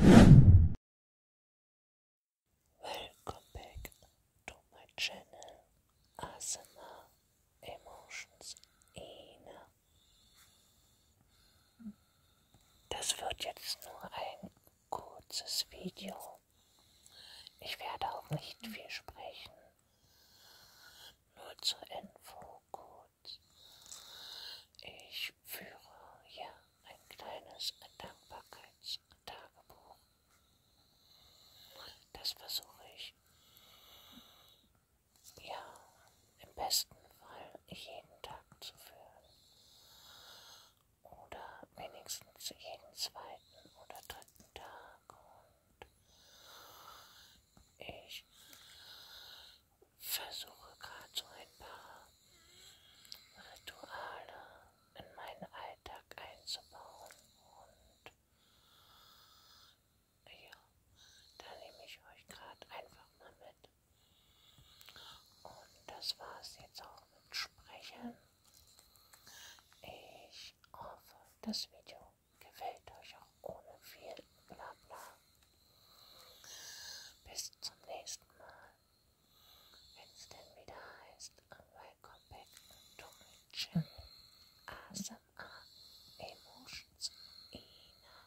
Welcome back to my channel Asana Emotions Ina. Das wird jetzt nur ein kurzes Video. Ich werde auch nicht viel sprechen. Nur zur Info kurz. Ich führe hier ein kleines Dankbarkeitstagebuch. Das versuche ich ja im besten Fall jeden Tag zu führen. Oder wenigstens jeden zweiten oder dritten Tag. Ich versuche gerade so ein paar Rituale in meinen Alltag einzubauen und ja, da nehme ich euch gerade einfach mal mit. Und das war es jetzt auch mit Sprechen. Ich hoffe, das Video gefällt euch auch ohne viel Blabla. Bis zum nächsten Mal, wenn es denn wieder heißt, Welcome back to my channel. ASMR Emotions Ina.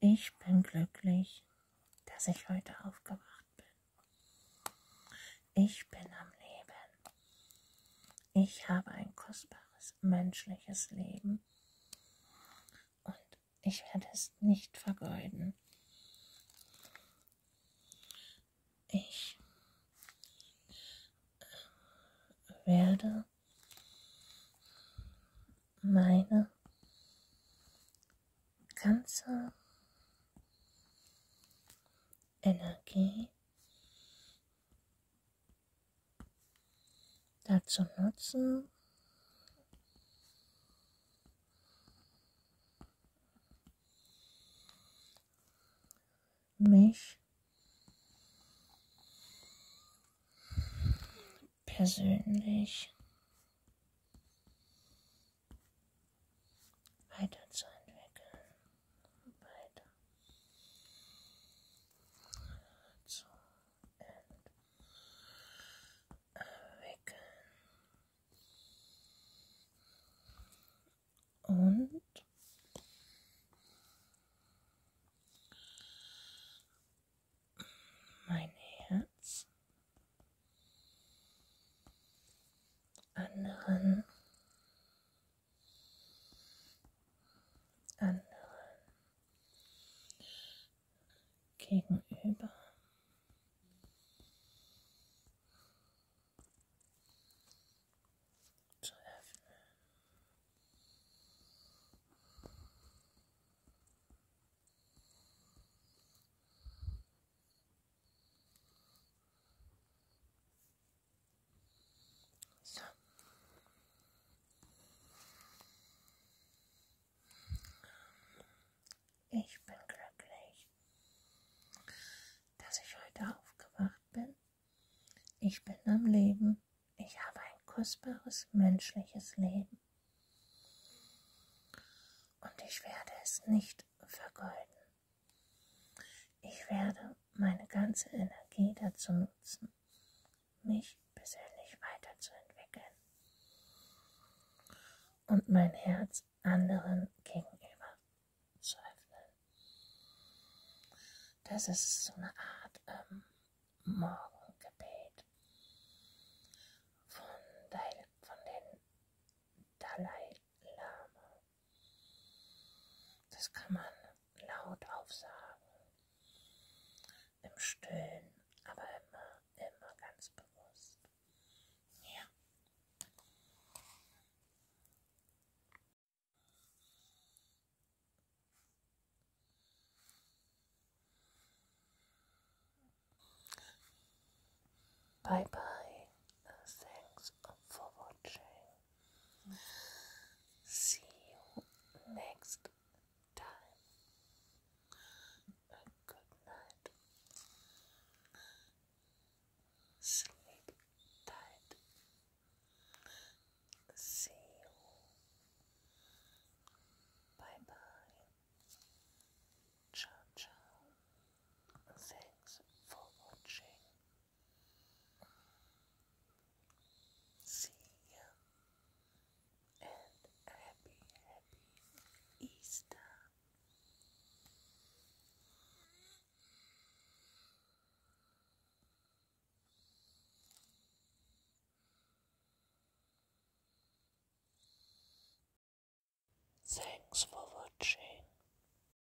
Ich bin glücklich, dass ich heute aufgewacht bin. Ich bin am Leben. Ich habe ein kostbares menschliches Leben. Und ich werde es nicht vergeuden. Ich ähm, werde meine ganze Energie dazu nutzen, mich persönlich weiterzuentwickeln. Weiter zu wickeln. Und mein Herz anderen anderen gegenüber. Zu öffnen. So. Ich bin glücklich, dass ich heute aufgewacht bin. Ich bin am Leben. Ich habe ein kostbares menschliches Leben. Und ich werde es nicht vergeuden. Ich werde meine ganze Energie dazu nutzen, mich persönlich weiterzuentwickeln und mein Herz anderen gegenüber zu öffnen. Das ist so eine Art ähm, Morgengebet von, Dai, von den Dalai Lama. Das kann man laut aufsagen. Im Stillen, aber immer, immer ganz bewusst. Ja. Bye bye. Thanks for watching. See you next time. good night. Sleep tight. See you. Bye bye. Ciao ciao. Thanks for watching. See ya. And happy Easter. Thanks for watching.